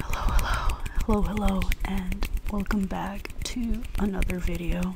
Hello, hello, hello, hello, and welcome back to another video.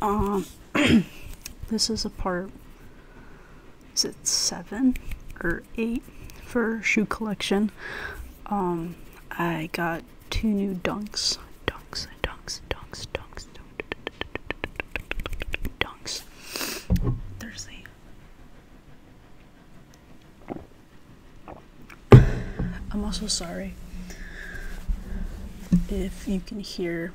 Um, this is a part. Is it seven or eight for shoe collection? Um, I got two new dunks. Dunks, dunks, dunks, dunks, dunks. Thursday. I'm also sorry if you can hear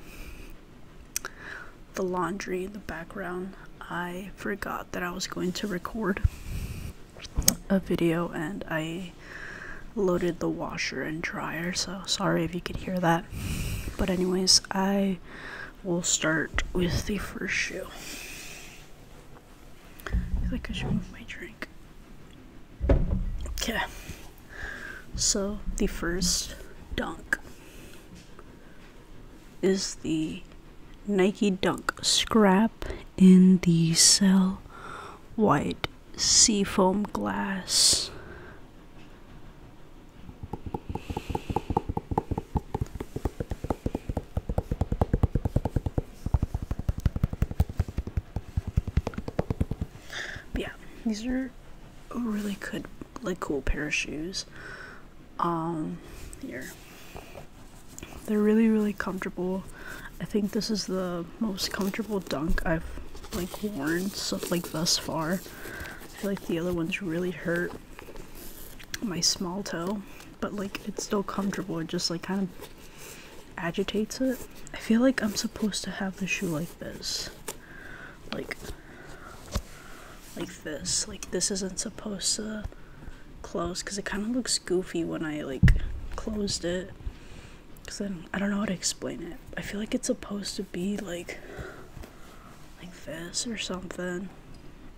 the laundry in the background. I forgot that I was going to record a video and I loaded the washer and dryer, so sorry if you could hear that. But, anyways, I will start with the first shoe. I think I should move my drink. Okay. So, the first dunk is the Nike Dunk Scrap in the cell white seafoam glass. yeah, these are really good, like, cool pair of shoes. Um, here. They're really, really comfortable. I think this is the most comfortable dunk I've like worn stuff like thus far. I feel like the other ones really hurt my small toe, but like it's still comfortable. It just like kind of agitates it. I feel like I'm supposed to have the shoe like this. Like like this. Like this isn't supposed to Close, because it kind of looks goofy when I like closed it. Cause I I don't know how to explain it. I feel like it's supposed to be like like this or something.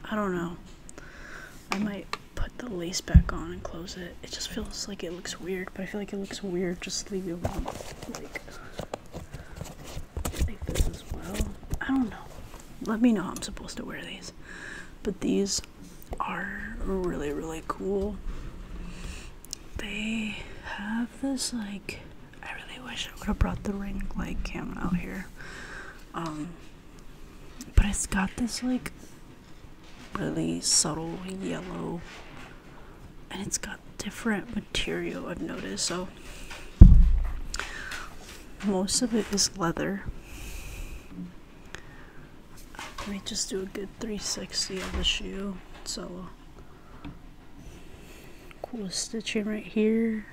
I don't know. I might put the lace back on and close it. It just feels like it looks weird, but I feel like it looks weird just leave it Like, like this as well. I don't know. Let me know how I'm supposed to wear these. But these are really, really cool. They have this, like, I really wish I would have brought the ring like him out here. Um, but it's got this, like, really subtle yellow, and it's got different material I've noticed. So, most of it is leather. Let me just do a good 360 of the shoe. So cool stitching right here.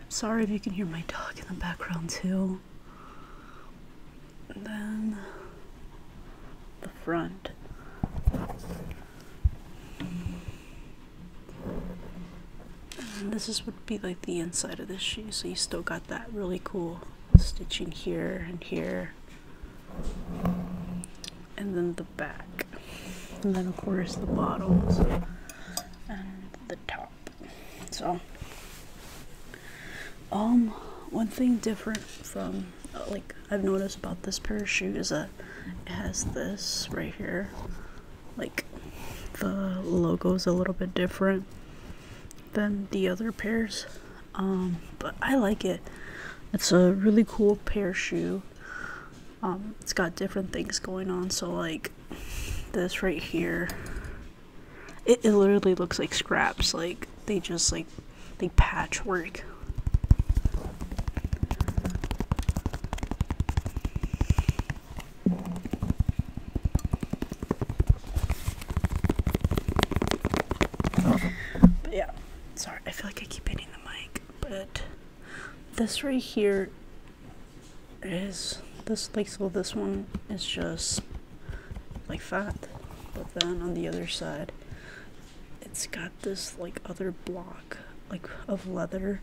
I'm sorry if you can hear my dog in the background too. then the front this is would be like the inside of this shoe, so you still got that really cool stitching here and here, and then the back, and then of course the bottoms and the top. So, um, one thing different from uh, like I've noticed about this pair of shoes is that it has this right here like the logo is a little bit different than the other pairs um, but i like it it's a really cool pair shoe um, it's got different things going on so like this right here it, it literally looks like scraps like they just like they patchwork but yeah, sorry, I feel like I keep hitting the mic, but this right here is this like so this one is just like fat but then on the other side it's got this like other block like of leather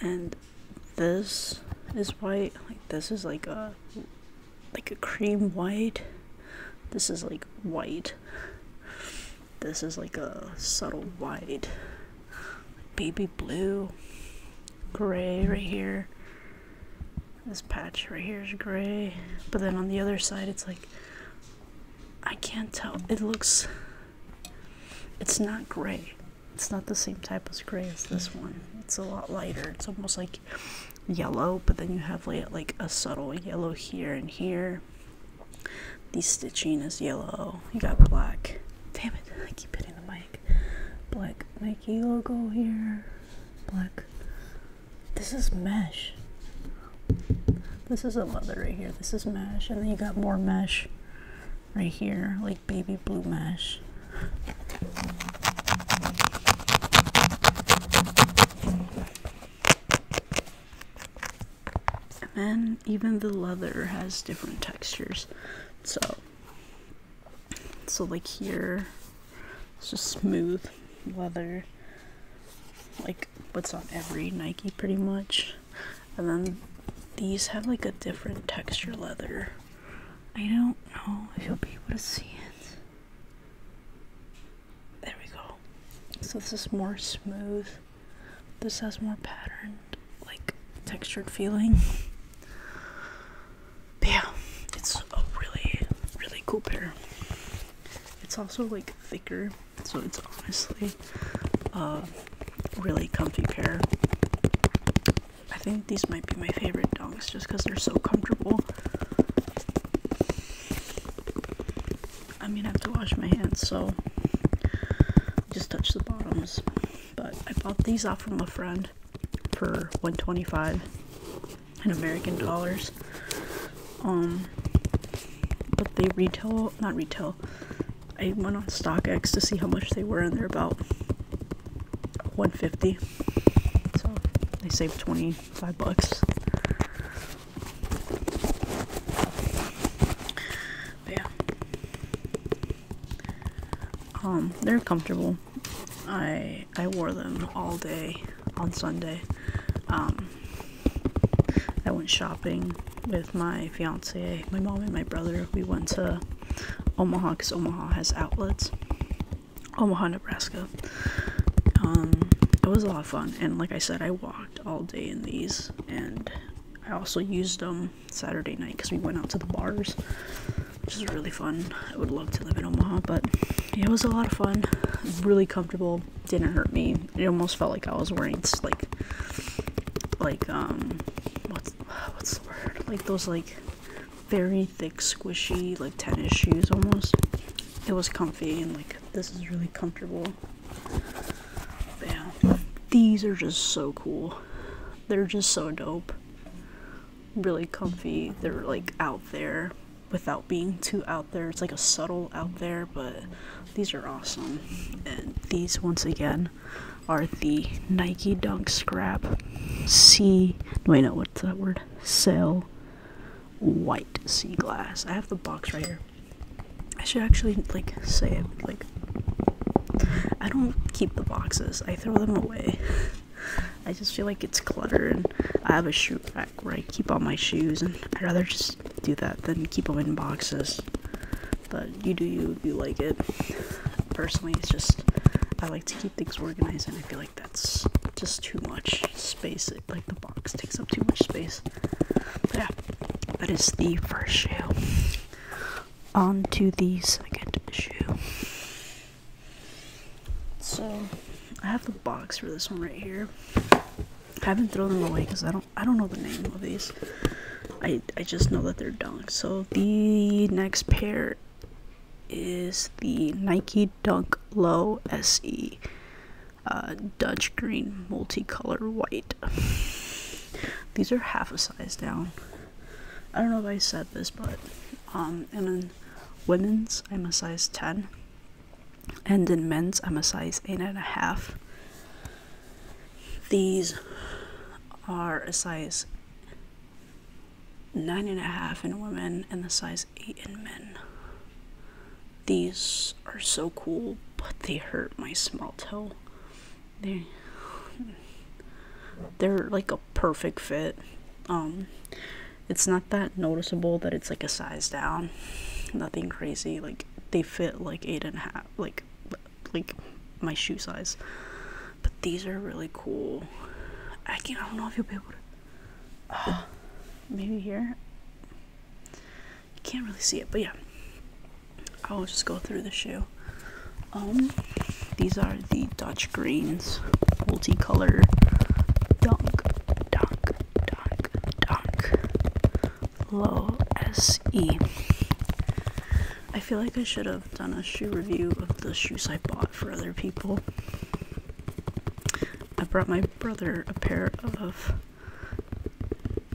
and this is white, like this is like a like a cream white. This is like white. This is like a subtle white. Baby blue. Gray right here. This patch right here is gray. But then on the other side it's like I can't tell. It looks it's not gray. It's not the same type of gray as this one. It's a lot lighter. It's almost like yellow, but then you have like, like a subtle yellow here and here. The stitching is yellow. You got black. Damn it, I keep hitting the mic. Black Nike logo here. Black. This is mesh. This is a leather right here. This is mesh. And then you got more mesh right here like baby blue mesh and then even the leather has different textures so so like here it's just smooth leather like what's on every nike pretty much and then these have like a different texture leather. I don't know if you'll be able to see it. There we go. So this is more smooth. This has more patterned, like textured feeling. But yeah, it's a really, really cool pair. It's also like thicker so it's honestly a really comfy pair. I think these might be my favorite dongs just because they're so comfortable. I'm gonna have to wash my hands, so just touch the bottoms. But I bought these off from a friend for 125 in American dollars. Um, but they retail, not retail, I went on StockX to see how much they were, and they're about 150 So I saved 25 bucks. yeah. Um, they're comfortable. I I wore them all day on Sunday. Um, I went shopping with my fiance, my mom, and my brother. We went to Omaha because Omaha has outlets. Omaha, Nebraska. Um, it was a lot of fun, and like I said, I walked all day in these, and I also used them Saturday night because we went out to the bars, which is really fun. I would love to live in Omaha, but it was a lot of fun. Really comfortable didn't hurt me. It almost felt like I was wearing like like um what's what's the word? Like those like very thick, squishy, like tennis shoes almost. It was comfy and like this is really comfortable. But These are just so cool. They're just so dope. Really comfy. They're like out there without being too out there. It's like a subtle out there, but these are awesome. And these, once again, are the Nike Dunk Scrap C. Wait, no, what's that word? Sail White Sea Glass. I have the box right here. I should actually, like, say it. Like, I don't keep the boxes, I throw them away. I just feel like it's clutter, and I have a shoe rack where I keep all my shoes, and I'd rather just do that then keep them in boxes. But you do you you like it. Personally, it's just I like to keep things organized, and I feel like that's just too much space. like the box takes up too much space. yeah, that is the first shoe. On to the second shoe. So I have the box for this one right here. I haven't thrown them away because I don't I don't know the name of these. I I just know that they're dunk. So the next pair is the Nike Dunk Low SE uh, Dutch Green Multicolor White. these are half a size down. I don't know if I said this, but um, and then women's I'm a size ten and in men's I'm a size eight and a half. These are a size nine and a half in women and the size eight in men. These are so cool, but they hurt my small toe. They they're like a perfect fit. Um, it's not that noticeable that it's like a size down. Nothing crazy. Like they fit like eight and a half like like my shoe size but these are really cool i can not i don't know if you'll be able to maybe here you can't really see it but yeah i'll just go through the shoe um these are the dutch greens multicolor dunk dunk dunk dunk low SE. I feel like I should have done a shoe review of the shoes I bought for other people. I brought my brother a pair of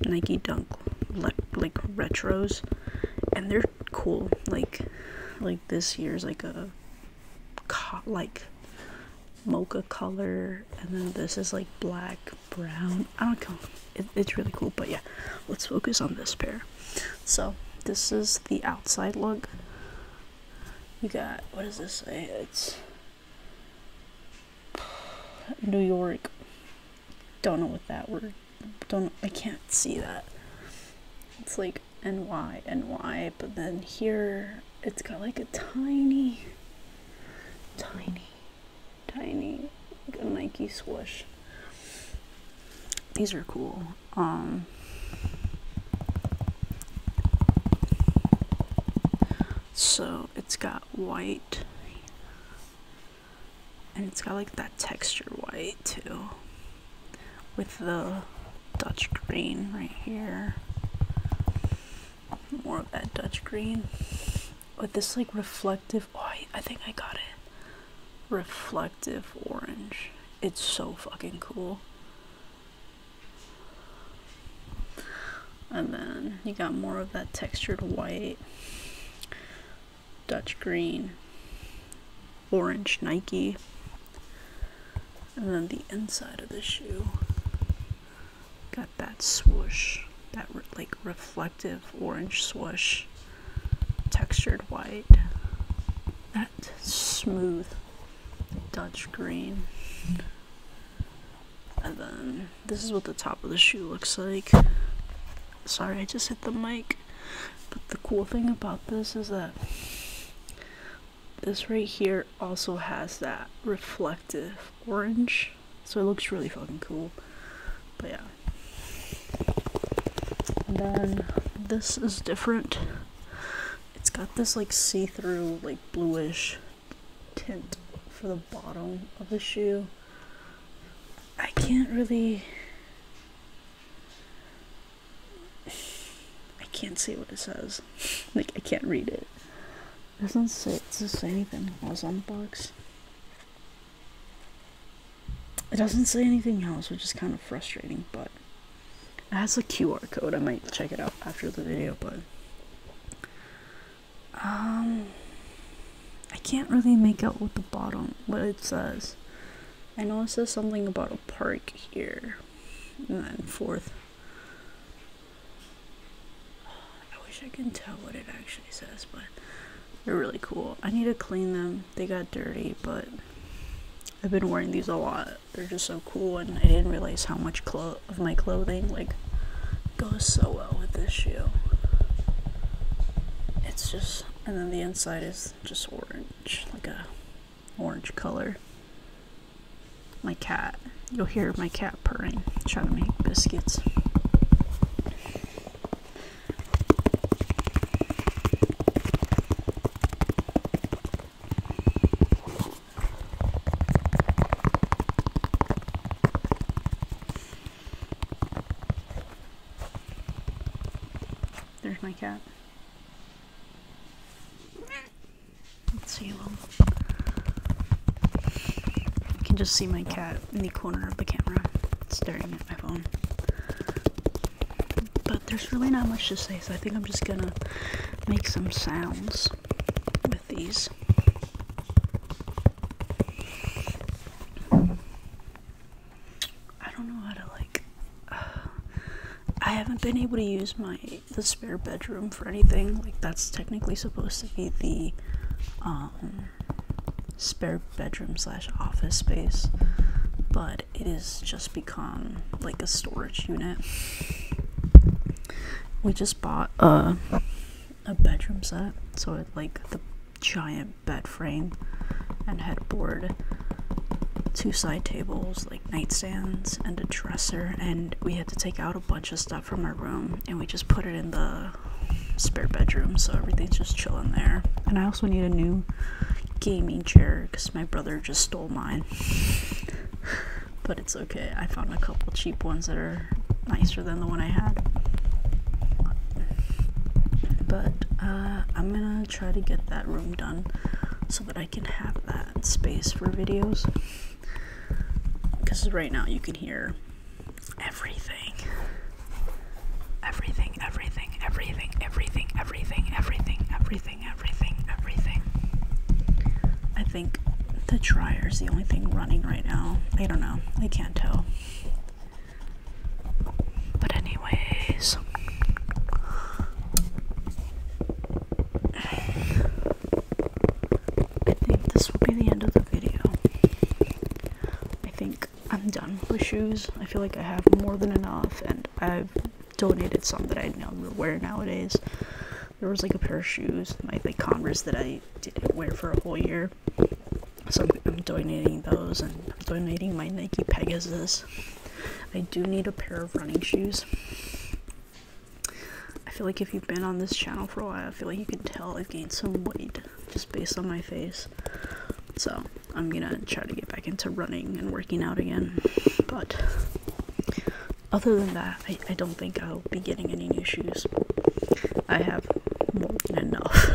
Nike Dunk like retros and they're cool like like this year's like a like mocha color and then this is like black, brown. I don't know. it's really cool, but yeah, let's focus on this pair. So this is the outside look. You got what does this say? It's New York. Don't know what that word. Don't I can't see that. It's like NY NY, but then here it's got like a tiny, tiny, tiny Nike swoosh. These are cool. Um, so it's got white and it's got like that texture white too with the Dutch green right here more of that Dutch green with this like reflective. Oh, I, I think I got it. Reflective orange. It's so fucking cool. And then you got more of that textured white, Dutch green, orange Nike. And then the inside of the shoe Got that swoosh, that like reflective orange swoosh, textured white, that smooth Dutch green. And then this is what the top of the shoe looks like. Sorry, I just hit the mic. But the cool thing about this is that this right here also has that reflective orange. So it looks really fucking cool. But yeah. then this is different. It's got this like see-through, like bluish tint for the bottom of the shoe. I can't really I can't see what it says. like I can't read it. doesn't say doesn't say anything else on the box. It doesn't say anything else, which is kind of frustrating, but it has a QR code. I might check it out after the video, but um I can't really make out what the bottom what it says. I know it says something about a park here and then fourth. I wish I can tell what it actually says, but they're really cool. I need to clean them. They got dirty, but I've been wearing these a lot. They're just so cool, and I didn't realize how much of my clothing like goes so well with this shoe. It's just, and then the inside is just orange, like a orange color. My cat. You'll hear my cat purring, trying to make biscuits. There's my cat. I can just see my cat in the corner of the camera staring at my phone. But there's really not much to say, so I think I'm just gonna make some sounds with these. I don't know how to like. I haven't been able to use my the spare bedroom for anything. Like that's technically supposed to be the um, spare bedroom slash office space, but it has just become like a storage unit. We just bought a a bedroom set, so like the giant bed frame and headboard, two side tables, like nightstands and a dresser and we had to take out a bunch of stuff from our room and we just put it in the spare bedroom so everything's just chilling there and i also need a new gaming chair because my brother just stole mine but it's okay i found a couple cheap ones that are nicer than the one i had but uh, i'm gonna try to get that room done so that I. I can have that space for videos. Because right now you can hear Everything, everything, everything, everything, everything, everything, everything, everything, everything. I think the dryer is the only thing running right now. I don't know. I can't tell. But anyways, I think this will be the end of the video. I think I'm done with shoes. I feel like I have more than enough, and I've donated some that I now wear nowadays. There was like a pair of shoes, my like Converse that I didn't wear for a whole year. So I'm, I'm donating those, and I'm donating my Nike Pegasus. I do need a pair of running shoes. I feel like if you've been on this channel for a while, I feel like you can tell I've gained some weight just based on my face. So I'm gonna try to get back into running and working out again. But other than that, I, don't think I'll be getting any new shoes. I have more than enough.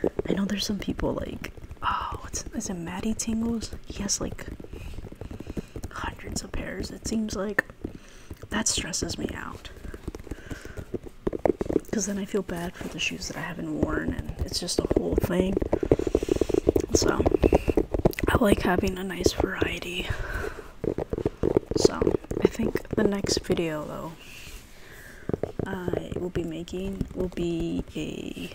I know there's some people like, oh, is it Maddie Tingles? He has like hundreds of pairs. It seems like that stresses me out because then I feel bad for the shoes that I haven't worn, and it's just a whole thing. So I like having a nice variety. So I think the next video though. I will be making will be a